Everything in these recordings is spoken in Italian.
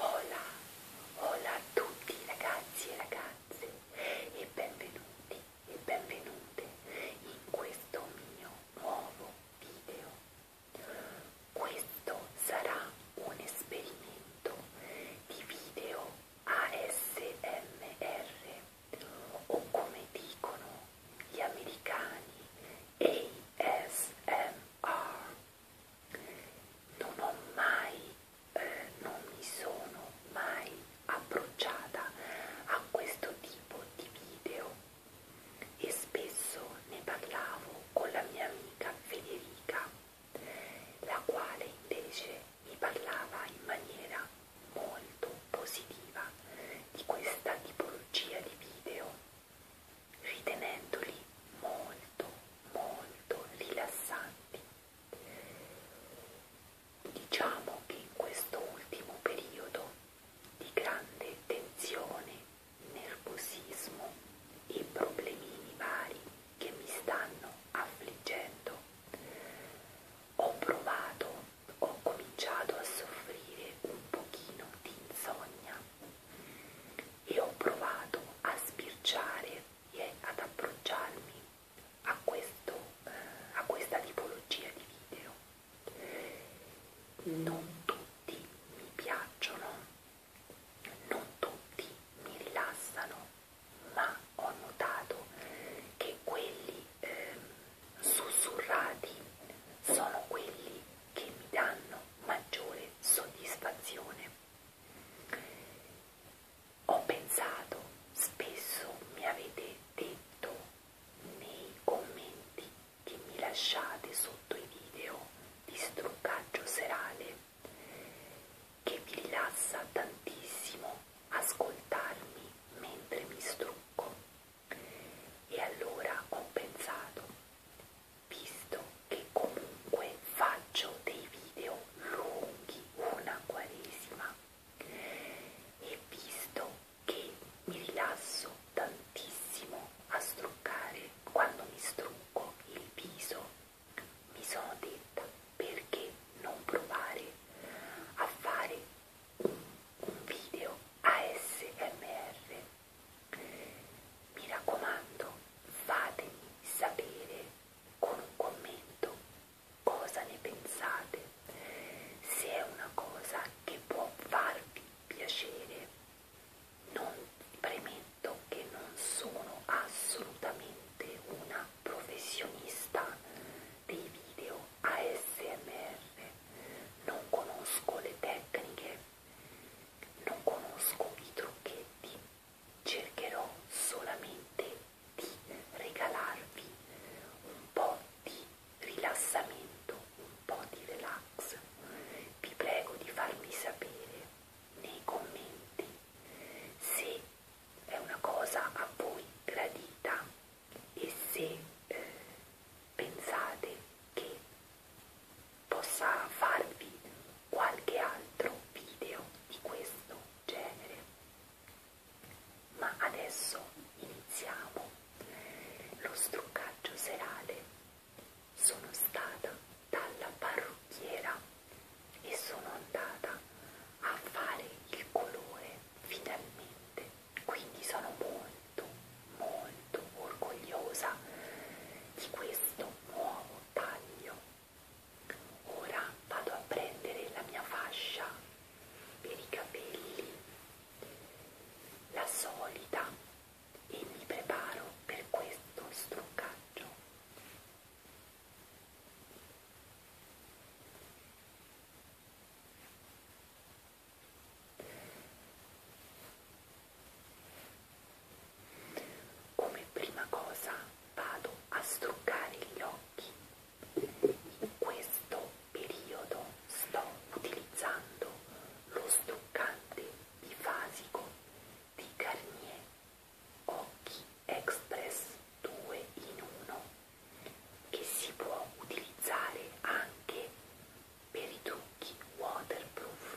Hola, hola a tutti ragazzi e ragazze e benvenuti e benvenute in questo mio nuovo video. Questo sarà un esperimento di video ASMR o come dicono gli americani ASMR non ho mai, eh, non mi sono mai approcciata a questo tipo di video e spesso ne parlavo con la mia amica Federica, la quale invece mi parlava in maniera molto positiva di questa tipologia di video ritenendoli molto molto rilassanti. Diciamo che in questo ultimo periodo di grande tensione, nervosismo e problemini vari che mi stanno affliggendo, ho provato, ho cominciato a soffrire un pochino di insonnia e ho provato a sbirciare e ad approcciarmi a, questo, eh, a questa tipologia di video. Non tutti mi piacciono, non tutti mi rilassano, ma ho notato che quelli eh, sussurrati sono quelli che mi danno maggiore soddisfazione ho pensato, spesso mi avete detto nei commenti che mi lasciate sotto i video di struccaggio serale che vi rilassa tantissimo ascoltarmi mentre mi strucco. E allora ho pensato, visto che comunque faccio dei video lunghi una quaresima e visto che mi rilasso tantissimo a struccare quando mi strucco il viso mi sono detta perché non provare a fare un video ASMR mi raccomando, fatemi sapere con un commento cosa ne pensate, se è una cosa che può farvi piacere. Non premetto che non sono assolutamente una professionista dei video ASMR, non conosco le tecniche, non conosco i trucchetti cercherò solamente di regalarvi un po' di rilassamento, un po' di relax. Vi prego di farmi sapere nei commenti se è una cosa a voi gradita e se eh, pensate che possa farvi qualche altro video di questo genere ma adesso iniziamo lo struccaggio serale sono stata dalla parrucchiera e sono andata a fare il colore finalmente quindi sono molto molto orgogliosa di questo un nuovo taglio ora vado a prendere la mia fascia per i capelli la solita e mi preparo per questo struccaggio come prima cosa vado a struccare gli occhi. In questo periodo sto utilizzando lo struccante bifasico di Garnier Occhi Express 2 in 1 che si può utilizzare anche per i trucchi waterproof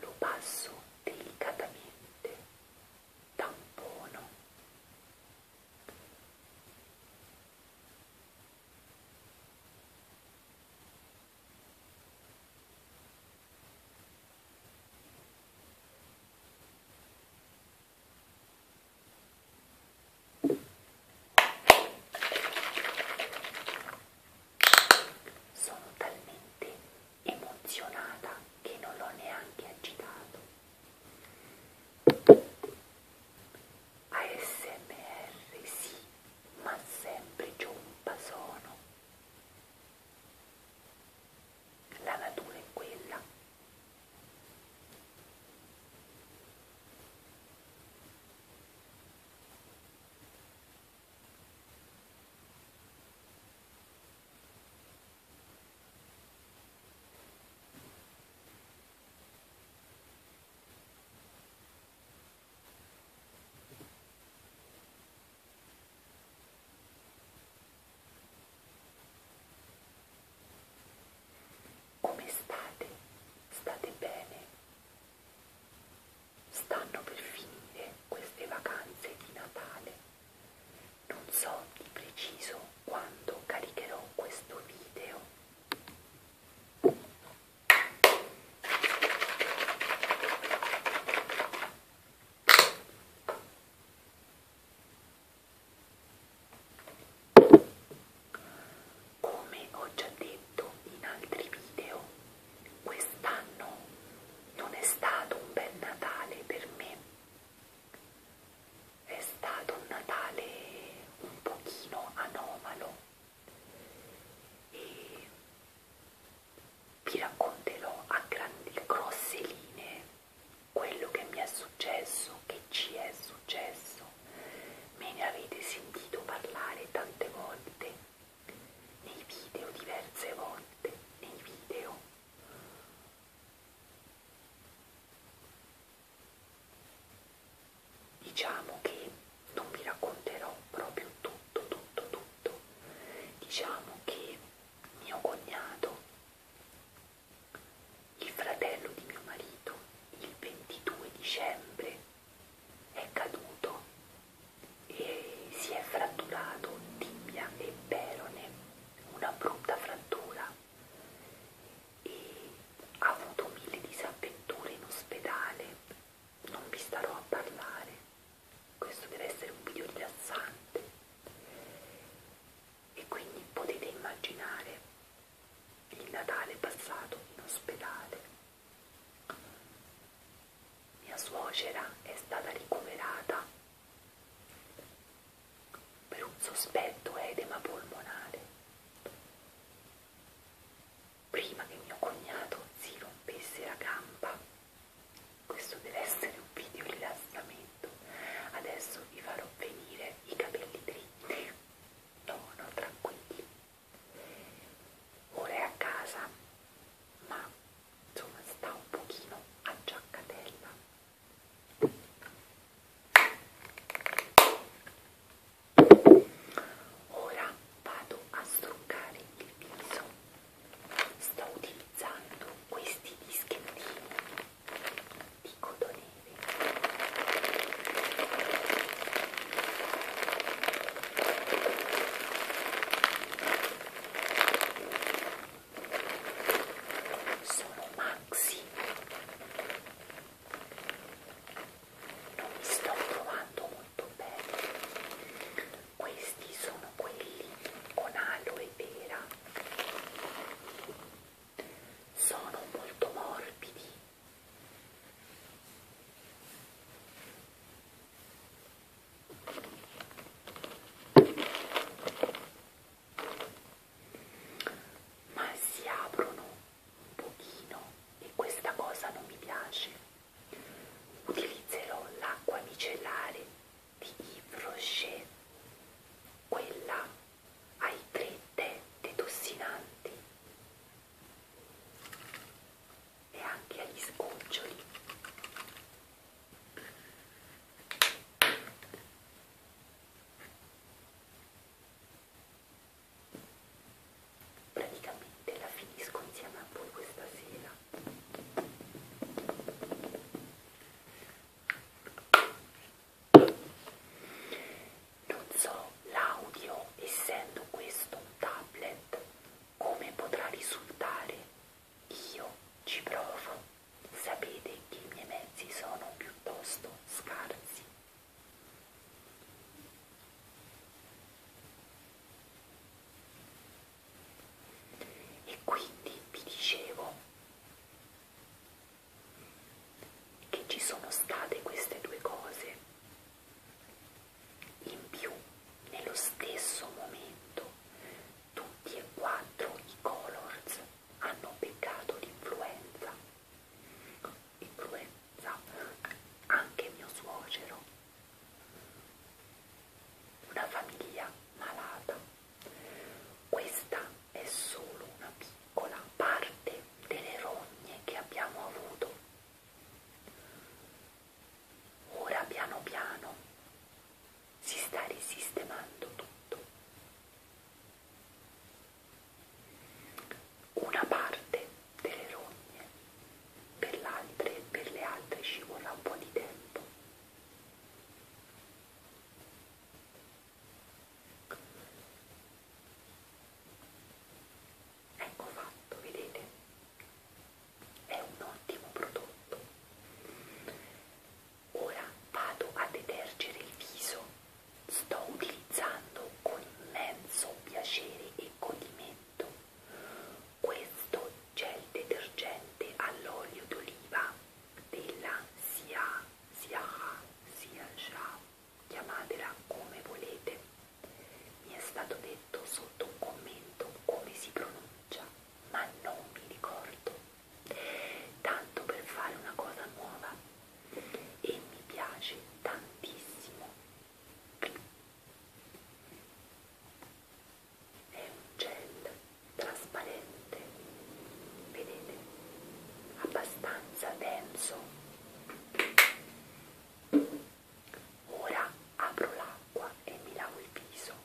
Lo passo delicatamente, tampono. Sono talmente emozionata che non l'ho neanche agitato. ASMR sì, ma sempre giompa sono. La natura è quella. Come state? State bene? Stanno per finire queste vacanze di Natale. Non so di preciso quando caricherò questo video. Come ho già detto in altri video, Quest'anno non è stato un bel Natale per me, è stato un Natale un pochino anomalo e vi racconterò a grandi grosse linee quello che mi è successo, che ci è successo. Me ne avete sentito parlare tante volte nei video diverse volte, nei video. Diciamo che non vi racconterò proprio tutto, tutto, tutto. Diciamo che mio cognato, il fratello di mio marito, il 22 dicembre è caduto e si è fratturato tibia e perone, una brutta frattura e ha avuto mille disavventure in ospedale, non vi starò a parlare, questo deve essere un video rilassante e quindi potete immaginare il Natale passato in ospedale mia suocera è stata ricoverata per un sospetto edema polmonare prima che mio cognato si rompesse la gamba. Questo deve essere un video rilassamento. Adesso vi farò venire i capelli dritti. No, no, tranquilli. Ora è a casa, ma insomma sta un pochino a giaccatella ora vado a struccare il viso sto utilizzando questi dischettini di cotonere sono maxi non mi sto trovando molto bene questi sono quelli con aloe vera sono molto morbidi ma si aprono un pochino e questa cosa non mi piace utilizzerò l'acqua micellare di Yves Rocher quella ai tre tè detossinanti e anche agli sgoccioli praticamente la finisco insieme a voi questa sera non so l'audio essendo questo un tablet come potrà risultare io ci provo. Sapete che i miei mezzi sono piuttosto scarsi. E quindi vi dicevo che ci sono state queste due cose. In più, nello stesso momento tutti e quattro i Colors hanno beccato l'influenza. Influenza anche mio suocero. Una famiglia malata. Questa è solo una piccola parte delle rogne che abbiamo avuto. Ora piano piano si sta risistemando tutto. Una parte delle rogne per l'altra e per le altre ci vorrà un po' di tempo. Ecco fatto, vedete? è un ottimo prodotto. Ora vado a detergere il viso, sto utilizzando con immenso piacere e godimento questo gel detergente all'olio d'oliva della Sia, Sia, Sia, Sia, chiamatela come volete. Mi è stato detto sotto un commento come si pronuncia faccia, ma non mi ricordo, tanto per fare una cosa nuova e mi piace tantissimo. È un gel trasparente, vedete, abbastanza denso. Ora apro l'acqua e mi lavo il viso.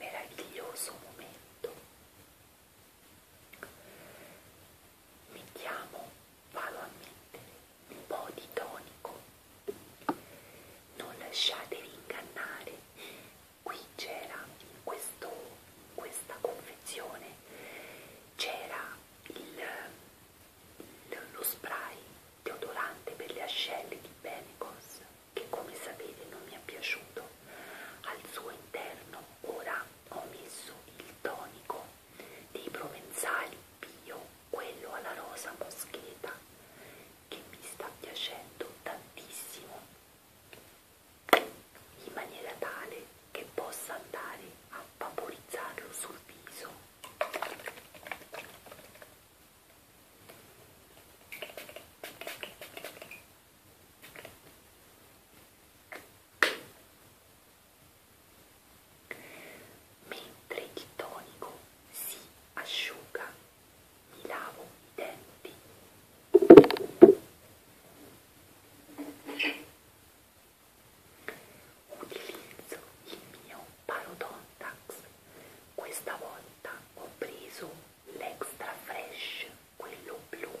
meraviglioso momento mettiamo vado a mettere un po' di tonico. Non lasciatevi ingannare, qui c'era in, in questa confezione c'era lo spray deodorante per le ascelle di Benecos che come sapete non mi è piaciuto al suo interno ora ho messo il tonico dei provenzali bio quello alla rosa moscheta che mi sta piacendo tantissimo in maniera tale che possa andare a vaporizzarlo sul viso Mentre il tonico si asciuga, mi lavo i denti. Utilizzo il mio parodontax. Questa volta ho preso l'extra fresh, quello blu.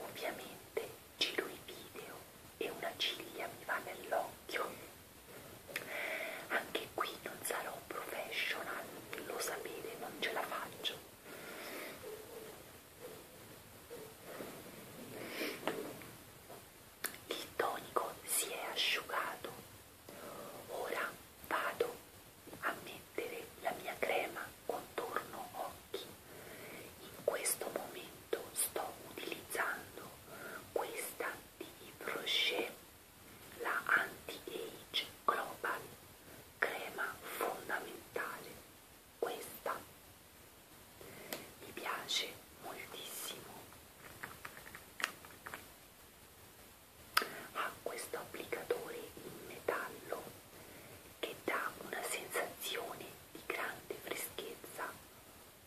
Ovviamente giro i video e una ciglia mi va nell'occhio anche qui non sarò professional, lo sapete, non ce la faccio. Il tonico si è asciugato. Ora vado a mettere la mia crema contorno occhi. In questo momento momento sto utilizzando questa di Brochet, la Anti-Age Global, crema fondamentale. Questa mi piace moltissimo. Ha questo applicatore in metallo che dà una sensazione di grande freschezza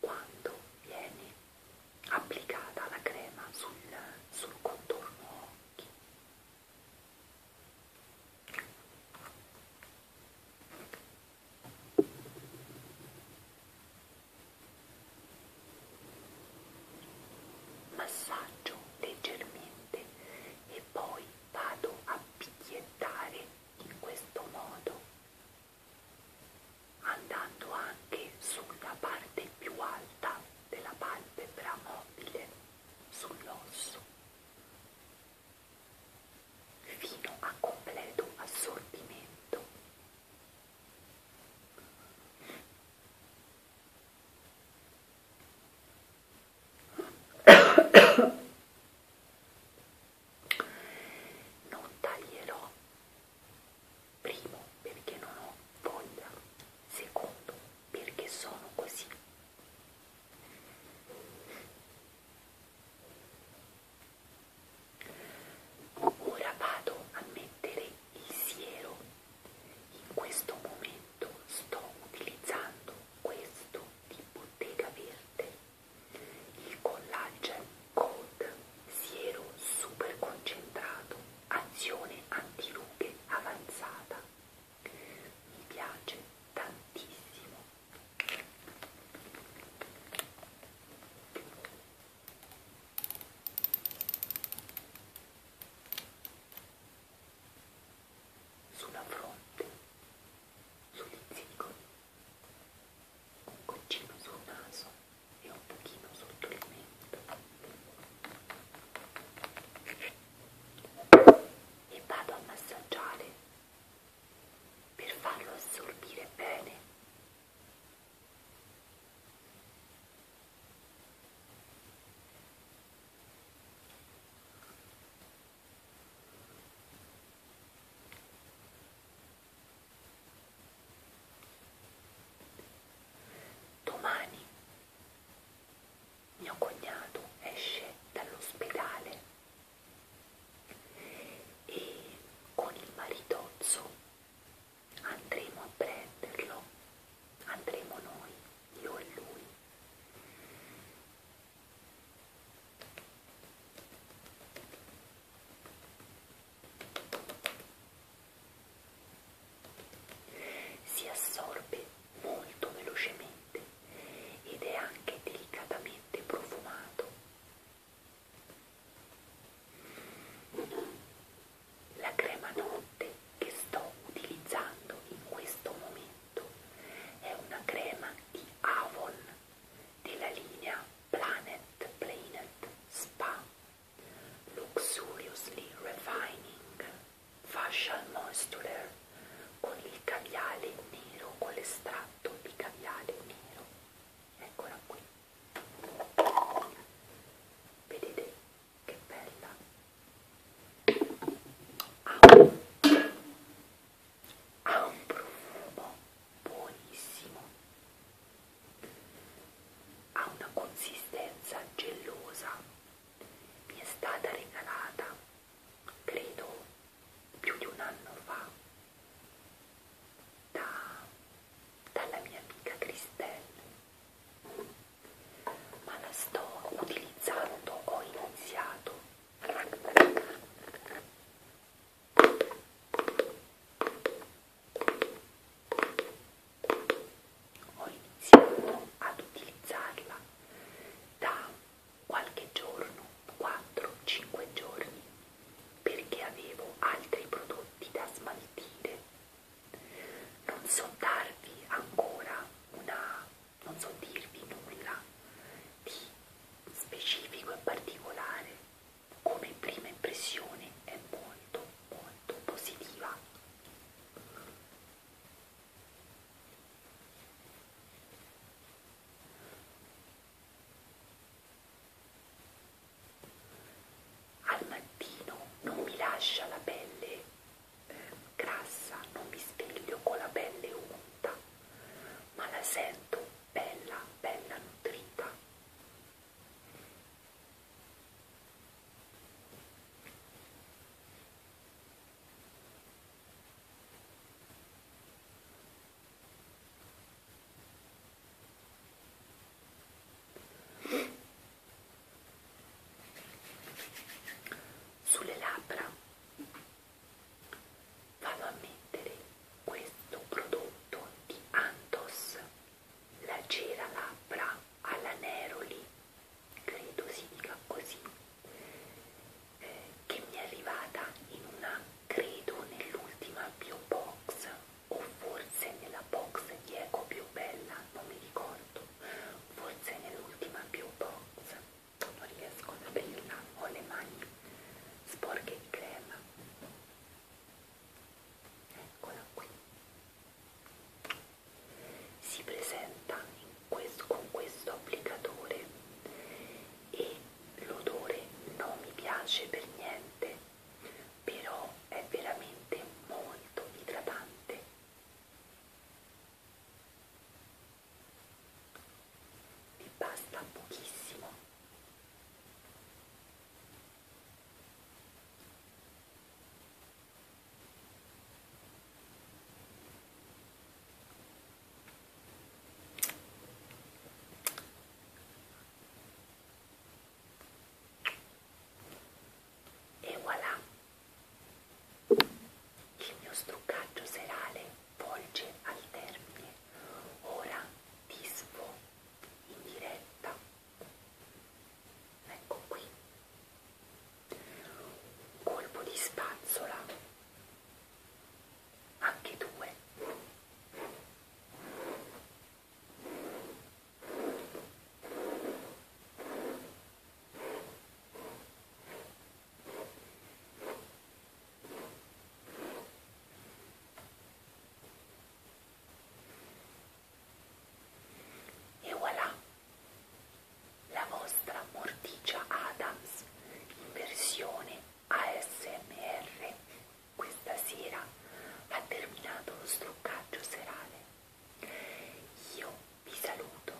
quando viene applicata la crema sul, sul contorno occhi. Massaggio leggermente e poi vado a picchiettare in questo modo andando anche sulla parte più alta della palpebra mobile, sull'osso, fino a completo assorbimento non taglierò primo perché non ho voglia secondo perché sono così ora vado a mettere il siero in questo momento sto utilizzando questo di bottega verde il collage Code siero super concentrato, azione antirughe avanzata. Mi piace tantissimo. Sulla fronte, sugli zigomi goccino sul naso e un pochino sotto il mento e vado a massaggiare per farlo assorbire bene Domani mio cognato esce dall'ospedale e con il maritozzo andremo a prenderlo, andremo noi, io e lui. Si assorbe molto velocemente ed è anche delicatamente profumato. La crema notte che sto utilizzando in questo momento è una crema di Avon della linea Planet, Planet, Spa, Luxuriously Refining, Facial Moisturer con il caviale nero, con l'estratto di caviale nero. Eccola qui. Vedete che bella. Ha un, ha un profumo buonissimo ha una consistenza gelosa, mi è stata regalata, credo, più di un anno fa, da, dalla mia amica Cristelle, ma la sto utilizzando, ho iniziato ho iniziato ad utilizzarla da qualche giorno 4-5 giorni perché avevo altri prodotti da smaltire non so darvi ancora una non so dirvi nulla di specifico e particolare come prima impressione è molto molto positiva al mattino non mi lascia la pelle eh, grassa, non mi sveglio con la pelle unta, ma la sento bella, bella nutrita sulle labbra vado a mettere questo prodotto di Antos la giralabbra alla Neroli, credo si dica così, eh, che mi è arrivata in una, credo nell'ultima biobox o forse nella box di Eco più bella, non mi ricordo, forse nell'ultima biobox, non riesco ad aprirla, ho le mani sporche di crema eccola qui si presenta questo, con questo applicatore e l'odore non mi piace per niente però è veramente molto idratante vi basta pochissimo e voilà! Il mio struccaggio serale volge al termine. Ora disfo in diretta ecco qui un colpo di spazzola anche due e voilà! La vostra Morticia Adams in versione ASMR questa sera ha terminato lo struccaggio serale. Io vi saluto,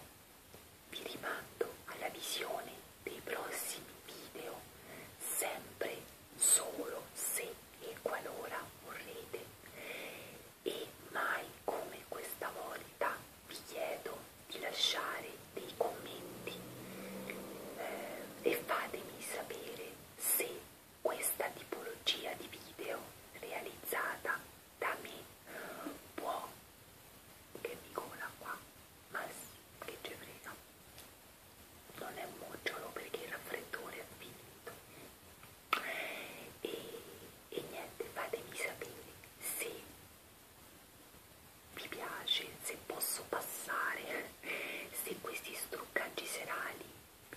vi rimando alla visione dei prossimi video sempre solo se e qualora vorrete e mai come questa volta vi chiedo di lasciare dei commenti eh, e fatemi sapere se questa tipologia di video realizzata da me può che mi cola qua ma sì, che ci frega non è un mocciolo perché il raffreddore è finito e, e niente fatemi sapere se vi piace se posso passare se questi struccaggi serali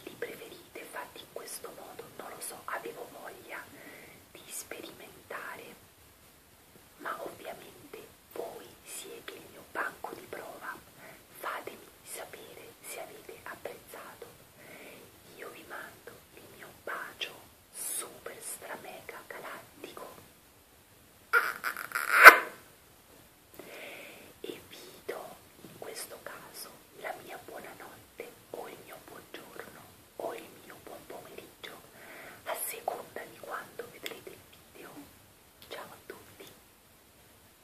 li preferite fatti in questo modo non lo so avevo voglia di sperimentare ma ovviamente voi siete il mio banco di prova fatemi di sapere se avete apprezzato. Io vi mando il mio bacio super stramega galattico e vi do in questo caso la mia buonanotte o il mio buongiorno o il mio buon pomeriggio a seconda di quando vedrete il video. Ciao a tutti!